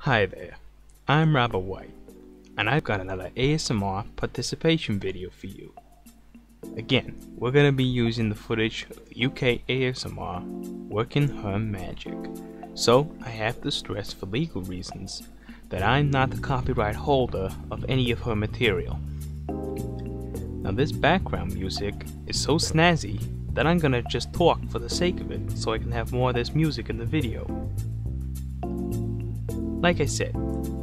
Hi there, I'm Robert White, and I've got another ASMR participation video for you. Again, we're going to be using the footage of UK ASMR Working Her Magic, so I have to stress for legal reasons that I'm not the copyright holder of any of her material. Now this background music is so snazzy that I'm gonna just talk for the sake of it so I can have more of this music in the video. Like I said,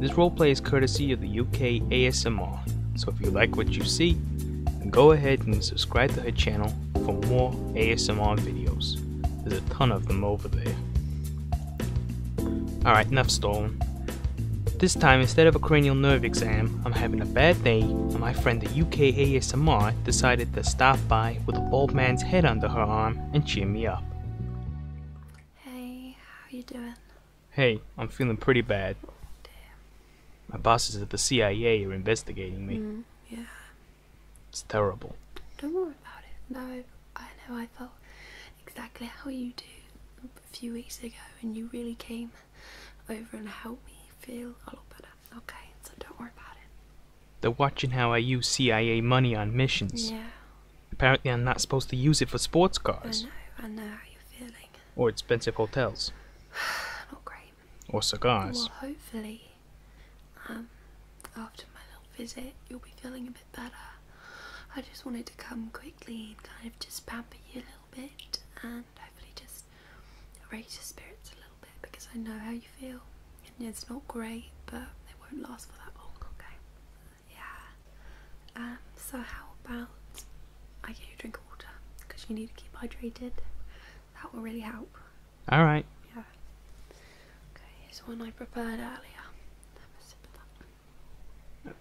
this roleplay is courtesy of the UK ASMR, so if you like what you see, go ahead and subscribe to her channel for more ASMR videos. There's a ton of them over there. Alright, enough stolen. This time, instead of a cranial nerve exam, I'm having a bad day, and my friend the UK ASMR decided to stop by with a bald man's head under her arm and cheer me up. Hey, how you doing? Hey, I'm feeling pretty bad. My bosses at the CIA are investigating me. Mm, yeah. It's terrible. Don't worry about it. No, I know I felt exactly how you do a few weeks ago, and you really came over and helped me feel a lot better okay, so don't worry about it. They're watching how I use CIA money on missions. Yeah. Apparently, I'm not supposed to use it for sports cars. I know, I know how you're feeling. Or expensive hotels. Not great. Or cigars. Well, hopefully, um, after my little visit, you'll be feeling a bit better. I just wanted to come quickly and kind of just pamper you a little bit and hopefully just raise your spirits a little bit because I know how you feel and it's not great but it won't last for that long okay yeah um so how about I get you a drink of water because you need to keep hydrated that will really help all right yeah okay here's one I prepared earlier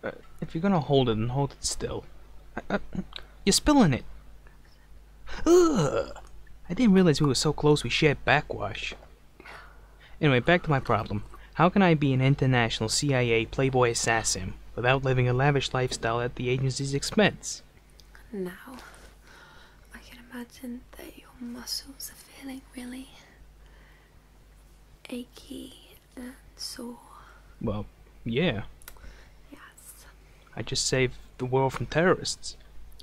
uh, uh, if you're gonna hold it, then hold it still. Uh, uh, you're spilling it. I didn't realize we were so close we shared backwash. Anyway, back to my problem. How can I be an international CIA playboy assassin without living a lavish lifestyle at the agency's expense? Now, I can imagine that your muscles are feeling really achy and sore. Well, yeah. Yeah, I just saved the world from terrorists.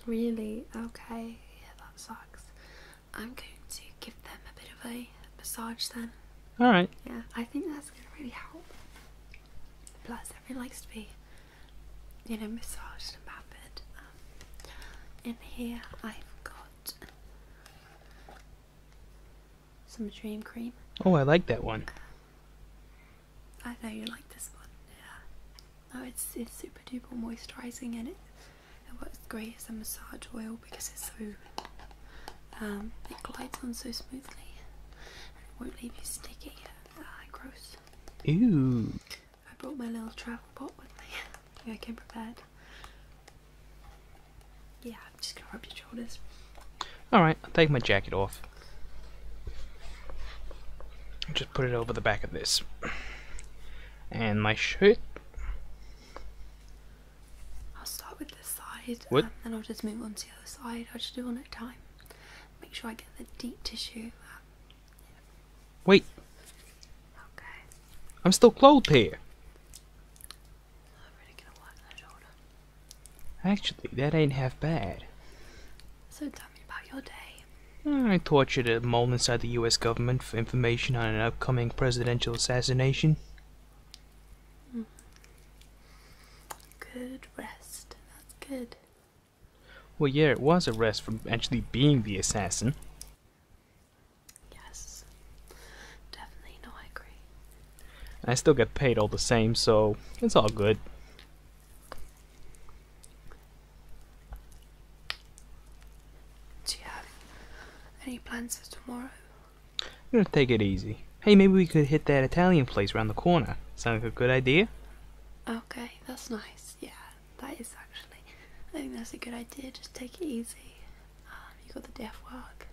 Really? Okay. Yeah, that sucks. I'm going to give them a bit of a massage then. Alright. Yeah, I think that's going to really help. Plus, everyone likes to be, you know, massaged and pampered. Um, in here, I've got some dream cream. Oh, I like that one. Um, I know you like this one. Yeah. No, it's it's super duper moisturising and it works great as a massage oil because it's so um, it glides on so smoothly and it won't leave you sticky. Ah, gross. Ew. I brought my little travel pot with me. I came prepared. Yeah, I'm just gonna rub your Alright, I'll take my jacket off. Just put it over the back of this. And my shirt. I'll start with this side. And um, then I'll just move on to the other side. I'll just do one at a time. Make sure I get the deep tissue. Wait. Okay. I'm still clothed here. Actually, that ain't half bad. So tell me about your day. I tortured a mole inside the US government for information on an upcoming presidential assassination. Mm-hmm. Good rest. That's good. Well, yeah, it was a rest from actually being the assassin. Yes. Definitely, no, I agree. I still get paid all the same, so it's all good. Do you have any plans for tomorrow? I'm gonna take it easy. Hey, maybe we could hit that Italian place around the corner. Sound like a good idea? Okay, that's nice. Yeah, that is actually. I think that's a good idea. Just take it easy. Um, you got the day off work.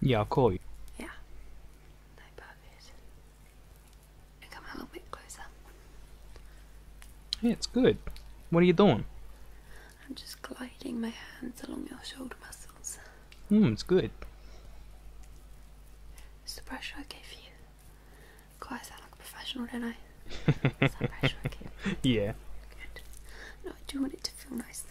Yeah, I'll call you. Yeah. No, come a little bit closer. Yeah, it's good. What are you doing? I'm just gliding my hands along your shoulder muscles. Hmm, it's good. It's the pressure I gave you. God, I sound like professional, don't I? it's that pressure I Yeah. No, I do want it to feel nice though.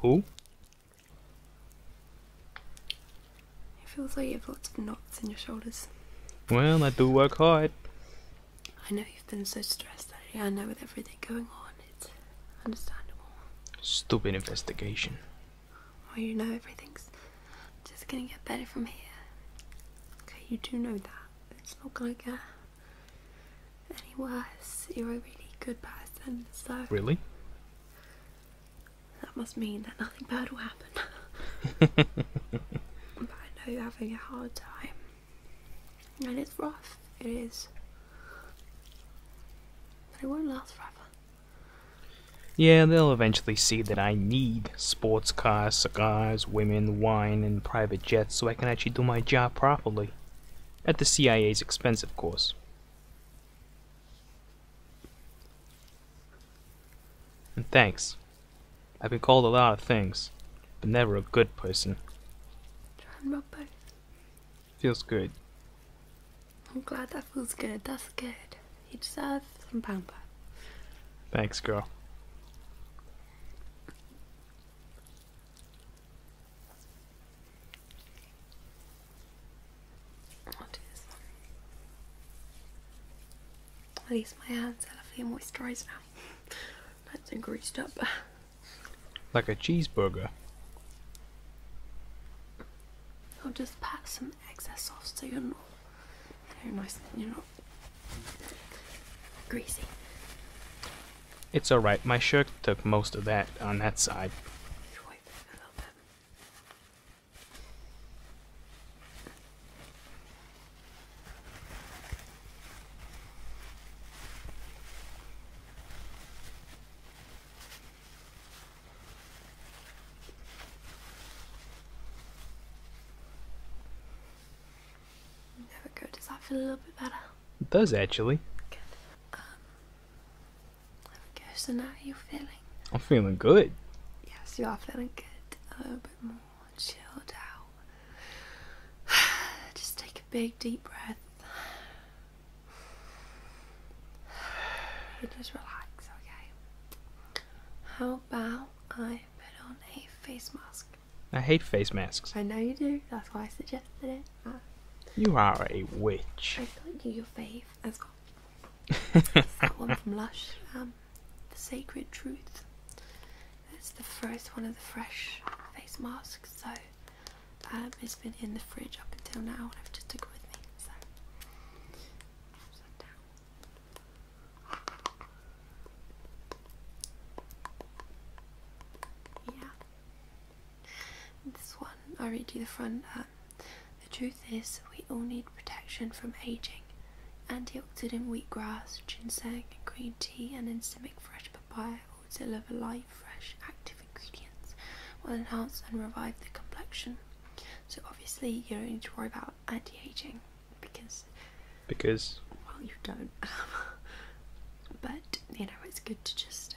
Who? It feels like you have lots of knots in your shoulders. Well, I do work hard. I know you've been so stressed lately. I know with everything going on, it's understandable. Stupid investigation. Well, you know everything's just gonna get better from here. Okay, you do know that. It's not gonna get any worse. You're a really good person, so. Really? That must mean that nothing bad will happen. but I know you're having a hard time. And it's rough, it is. But it won't last forever. Yeah, they'll eventually see that I need sports cars, cigars, women, wine, and private jets so I can actually do my job properly. At the CIA's expense, of course. And thanks. I've been called a lot of things, but never a good person. John Robert. Feels good. I'm glad that feels good. That's good. You deserve some pamper. Thanks, girl. I'll At least my hands are lovely and moisturised now. That's and greased up. Like a cheeseburger. I'll just pat some excess off so you're not, you know, nice. You're not Greasy. It's alright, my shirt took most of that on that side. There we go. Does that feel a little bit better? It does actually. Good. Um, there we go. So now you're feeling. I'm feeling good. Yes, you are feeling good. A little bit more chilled out. Just take a big deep breath. just relax, okay? How about I put on a face mask? I hate face masks. I know you do. That's why I suggested it. Ah. you are a witch. I feel like you, your fave. That's has that one from Lush. Um, the Sacred Truth. It's the first one of the fresh face masks. So um, it's been in the fridge up until now, and I've just took it with me. So, yeah. This one, i read you the front. Um, the truth is, we all need protection from aging. Antioxidant wheatgrass, ginseng, green tea, and enzyming fresh papaya all deliver light, fresh, active ingredients, will enhance and revive the complexion. So obviously, you don't need to worry about anti-aging because because well you don't but you know it's good to just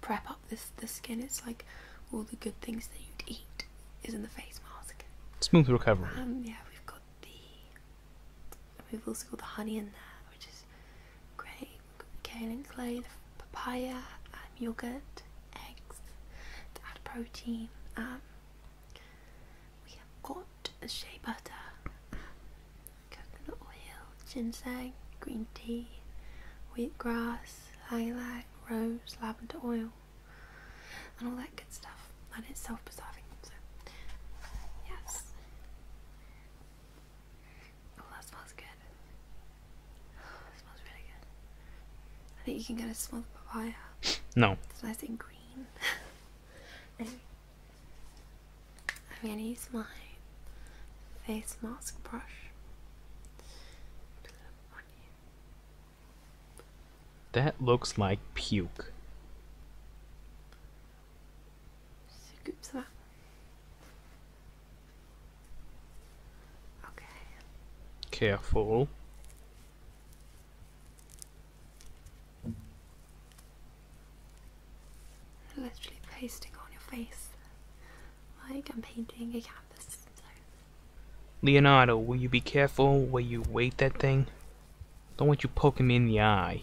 prep up this the skin it's like all the good things that you'd eat is in the face mask smooth recovery um yeah we've got the we've also got the honey in there which is great we the kale and clay papaya um, yogurt eggs to add protein um we have got shea butter, coconut oil, ginseng, green tea, wheatgrass, lilac, rose, lavender oil, and all that good stuff. And it's self preserving, so yes. Oh, that smells good. that smells really good. I think you can get a smell of papaya. No. It's nice and green. I'm going to use my face mask brush. That looks like puke. Okay. Careful. Literally pasting on your face like I'm painting a canvas. Leonardo, will you be careful where you weight that thing? Don't want you poking me in the eye.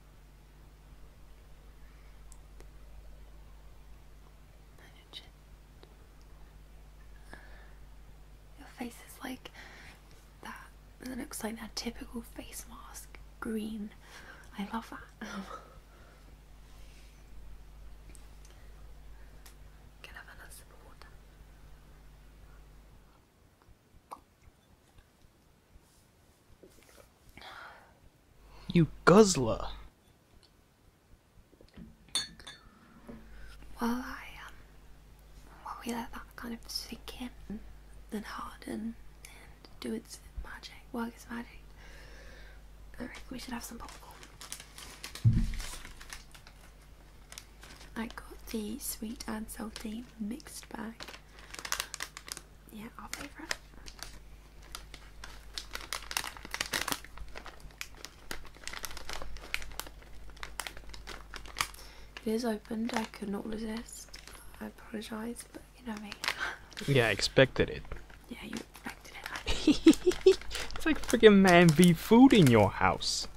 your face is like that. It looks like that typical face mask, green. I love that. Can I have another of water? You guzzler. Well, I, um, well, we let that kind of sink in and harden and do its magic, work its magic. All right, we should have some popcorn. I got the sweet and salty mixed bag. Yeah, I'll pay for it. It is opened, I could not resist. I apologise, but you know me. yeah, I expected it. Yeah, you expected it. it's like freaking man v food in your house.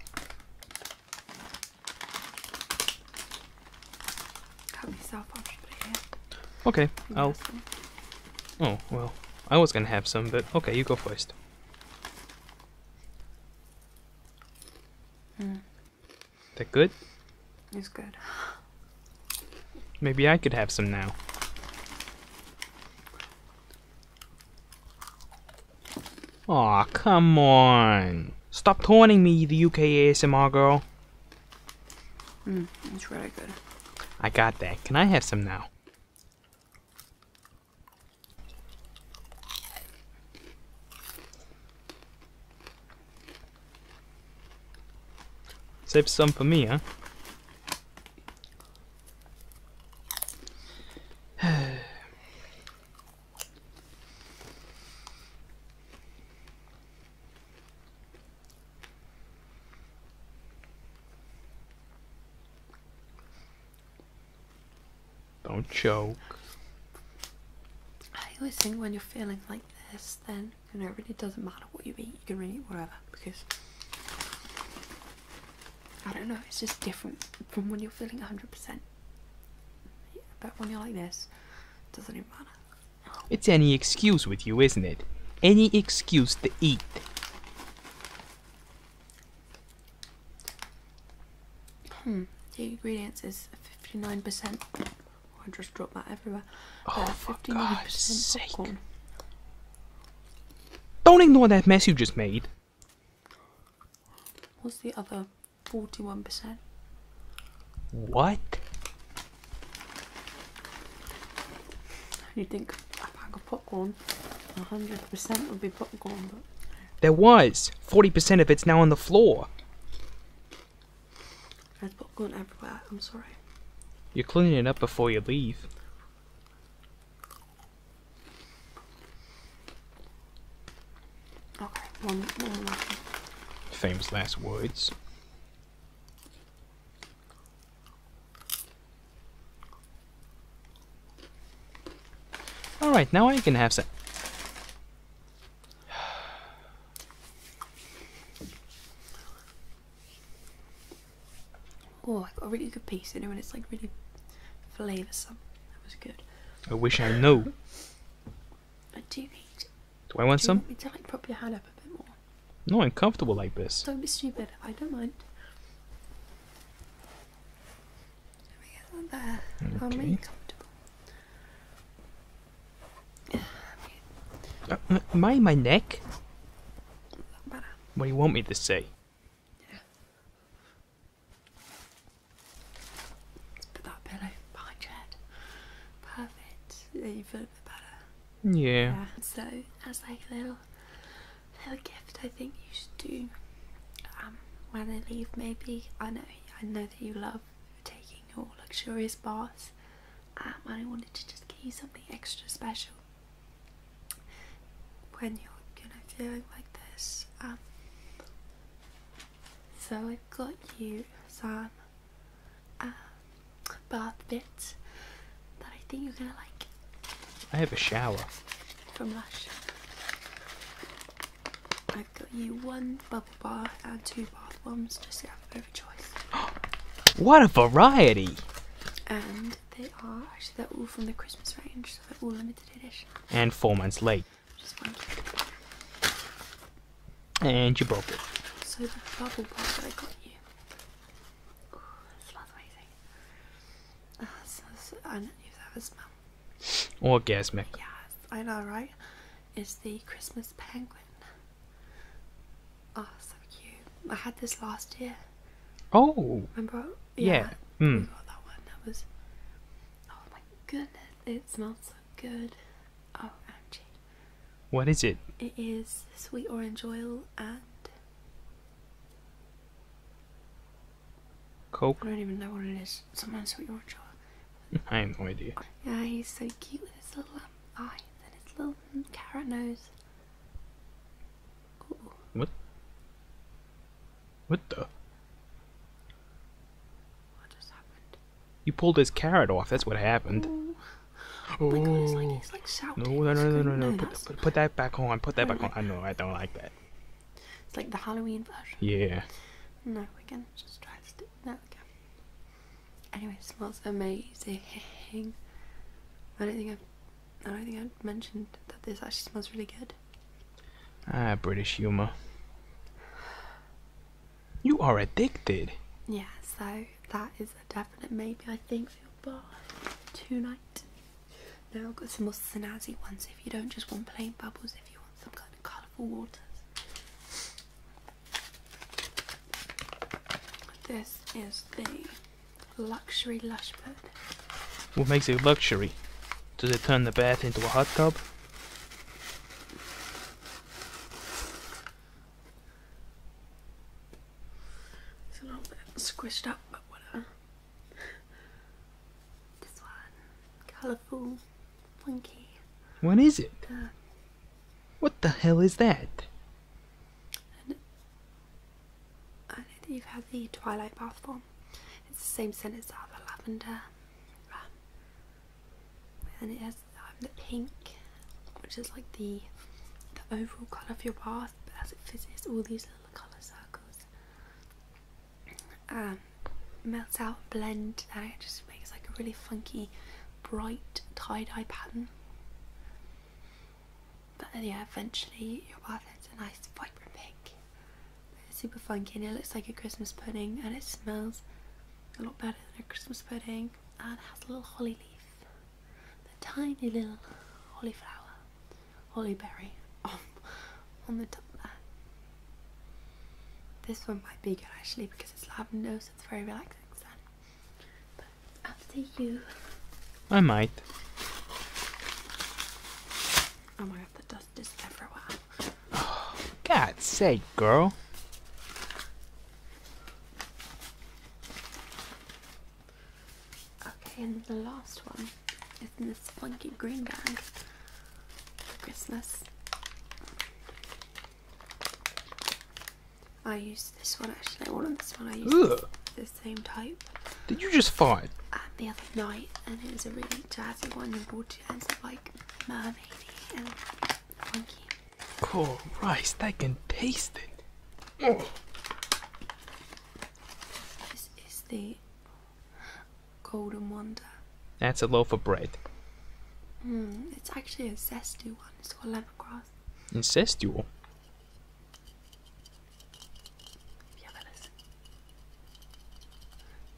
Cut myself off here. Okay, I'll. Oh, well. I was gonna have some, but okay, you go first. Mm. That good? It's good. Maybe I could have some now. Aw, come on. Stop taunting me, the UK ASMR girl. Mm, that's really good. I got that. Can I have some now? Save some for me, huh? Don't choke. I always think when you're feeling like this, then you know it really doesn't matter what you eat. You can eat whatever because I don't know. It's just different from when you're feeling 100%. but when you're like this, it doesn't even matter. It's any excuse with you, isn't it? Any excuse to eat. Hmm. The ingredients is 59%. I just dropped that everywhere. Uh, oh, uh, 59% Don't ignore that mess you just made. What's the other 41%? What? You think a bag of popcorn, 100% would be popcorn, but. There was! 40% of it's now on the floor! There's popcorn everywhere, I'm sorry. You're cleaning it up before you leave. Okay, one, one Famous last words. Alright, now I can have some. oh, I got a really good piece you know, and it's like really flavoursome. That was good. I wish I knew. I do need. Do I want do some? You want me to like prop your hand up a bit more. No, I'm comfortable like this. Don't be stupid. I don't mind. There we go. There. Okay. I'll comfortable. Uh, my neck? What do you want me to say? Let's put that pillow behind your head. Perfect and better. Yeah. So as like a little little gift I think you should do um, when I leave maybe. I know I know that you love taking your luxurious baths um, and I wanted to just give you something extra special when you're you know feeling like this. Um, so I've got you some a uh, bath bit that I think you're gonna like. I have a shower from Lush. I've got you one bubble bar and two bath bombs just to have a bit of choice. what a variety! And they are actually they're all from the Christmas range, so they're all limited edition. And four months late. Just one and you broke it. So the bubble pop that I got you. Ooh, that smells amazing. Uh, ah, so, so, I don't know that was smell. Orgasmic. Yes, I know, right? It's the Christmas penguin. Oh, so cute. I had this last year. Oh. Remember? Yeah. yeah. Hmm. Oh my goodness! It smells so good. Oh, OMG. What is it? It is sweet orange oil and Coke. I don't even know what it is. Someone sweet orange oil. I have no idea. Yeah, he's so cute with his little um, eye and his little mm, carrot nose. What? What the? What just happened? You pulled his carrot off. That's what happened. Oh. Like, like no, no, no, no, no, no. Put, put, put, that back on. Put that back on. I know. I don't like that. It's like the Halloween version. Yeah. No, we can just try to do that again. Anyway, it smells amazing. I don't think I've, I don't think I mentioned that this actually smells really good. Ah, British humour. You are addicted. Yeah, so that is a definite maybe, I think, for your bath tonight. Now I've got some more snazzy ones if you don't just want plain bubbles, if you want some kind of colourful waters. This is the luxury lush bed. What makes it luxury? Does it turn the bath into a hot tub? It's a little bit squished up, but whatever. This one, colourful, funky. What is it? what the hell is that? I know that you've had the Twilight bath bomb. It's the same scent as the other lavender and it has um, the pink which is like the overall colour of your bath but as it fizzes all these little colour circles um, melt out blend and it just makes like a really funky bright tie-dye pattern but then yeah eventually your bath has a nice vibrant pink it's super funky and it looks like a Christmas pudding and it smells a lot better than a Christmas pudding and it has a little holly leaf, the tiny little holly flower, holly berry on, the top That This one might be good actually because it's lavender so it's very relaxing scent. But up to you. I might. Oh my god, the dust is everywhere. God's sake, girl. Okay, and the last one is in this funky green bag for Christmas. I used this one actually. I wanted this one. I used the same type. Did you just find? the other night, and it was a really jazzy one. You bought it as like mermaidy and Oh, rice, I can taste it. Oh. This is the golden wonder. That's a loaf of bread. Hmm, it's actually a zesty one. It's called lemongrass. zesty.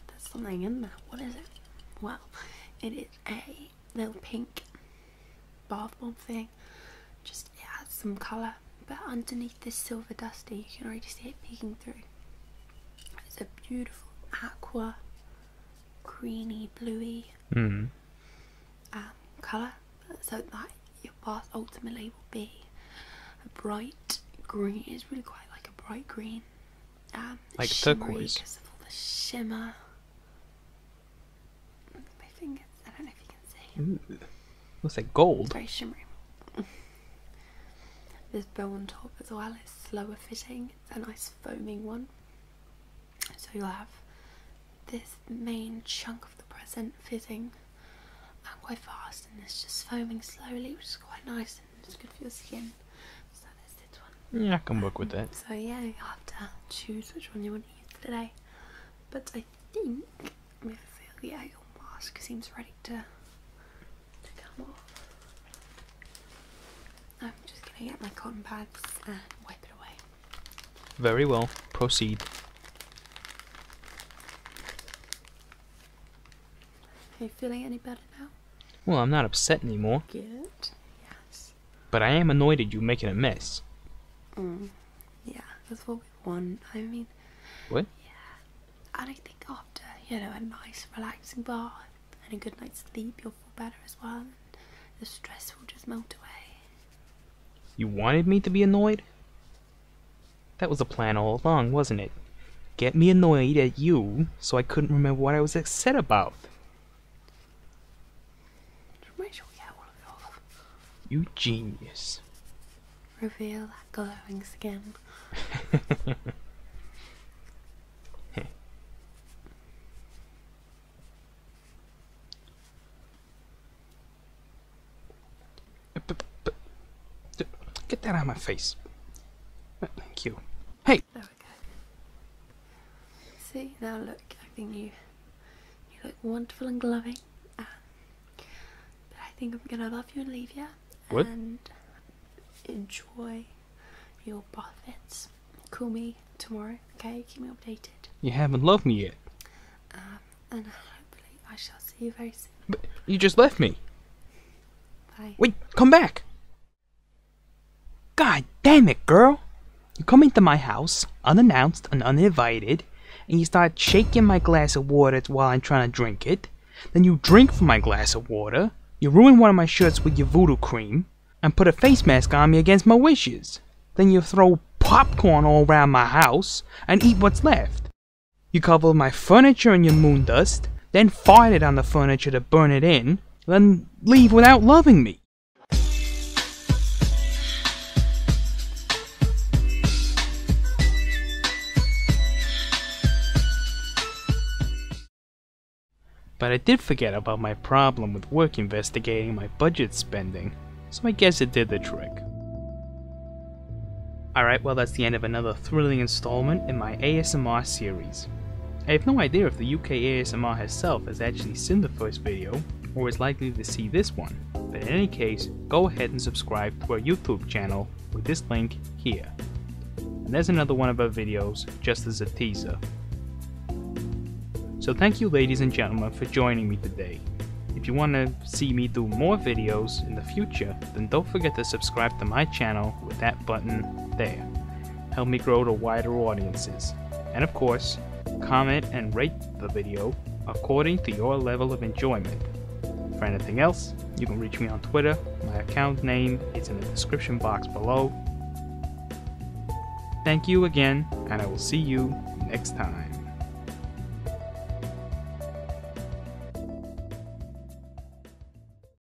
There's something in there. What is it? Well, it is a little pink bath bomb thing. Just it adds some colour, but underneath this silver dusty, you can already see it peeking through. It's a beautiful aqua, greeny, bluey hmm. um, colour. So that your bath ultimately will be a bright green. It's really quite like a bright green, Ah, like turquoise, because of all the shimmer. My fingers, I don't know if you can see. Ooh. Looks like gold. very shimmery. this bow on top as well is slower fitting. It's a nice foaming one. So you'll have this main chunk of the present fitting uh, quite fast and it's just foaming slowly which is quite nice it's good for your skin. So there's this one. Yeah, I can work with that. So yeah, you have to choose which one you want to use today. But I think, I feel, yeah, mask seems ready to, to come off. I'm just going to get my cotton pads and wipe it away. Very well, proceed. Are you feeling any better now? Well, I'm not upset anymore. Good. Yes. But I am annoyed at you making a mess. Mm. Yeah, that's what we want. I mean. What? Yeah. And I think after, you know, a nice, relaxing bath and a good night's sleep, you'll feel better as well. the stress will just melt away. You wanted me to be annoyed? That was a plan all along, wasn't it? Get me annoyed at you so I couldn't remember what I was upset about. You genius. Reveal that glowing skin. Get that out of my face. Thank you. Hey! See, now look, I think you, you look wonderful and glowing. Uh, but I think I'm gonna love you and leave you. What? And enjoy your baths. Call me tomorrow, okay? Keep me updated. You haven't loved me yet. Um, and hopefully I shall see you very soon. But you just left me. Bye. Wait, come back! God damn it, girl! You come into my house, unannounced and uninvited, and you start shaking my glass of water while I'm trying to drink it. Then you drink from my glass of water, you ruin one of my shirts with your voodoo cream, and put a face mask on me against my wishes. Then you throw popcorn all around my house and eat what's left. You cover my furniture in your moon dust, then fart it on the furniture to burn it in, then leave without loving me. But I did forget about my problem with work investigating my budget spending, so I guess it did the trick. Alright, well that's the end of another thrilling installment in my ASMR series. I have no idea if the UK ASMR herself has actually seen the first video, or is likely to see this one, but in any case, go ahead and subscribe to our YouTube channel with this link here. And there's another one of our videos, just as a teaser. So thank you ladies and gentlemen for joining me today. If you want to see me do more videos in the future, then don't forget to subscribe to my channel with that button there. Help me grow to wider audiences. And of course, comment and rate the video according to your level of enjoyment. For anything else, you can reach me on Twitter. My account name is in the description box below. Thank you again, and I will see you next time.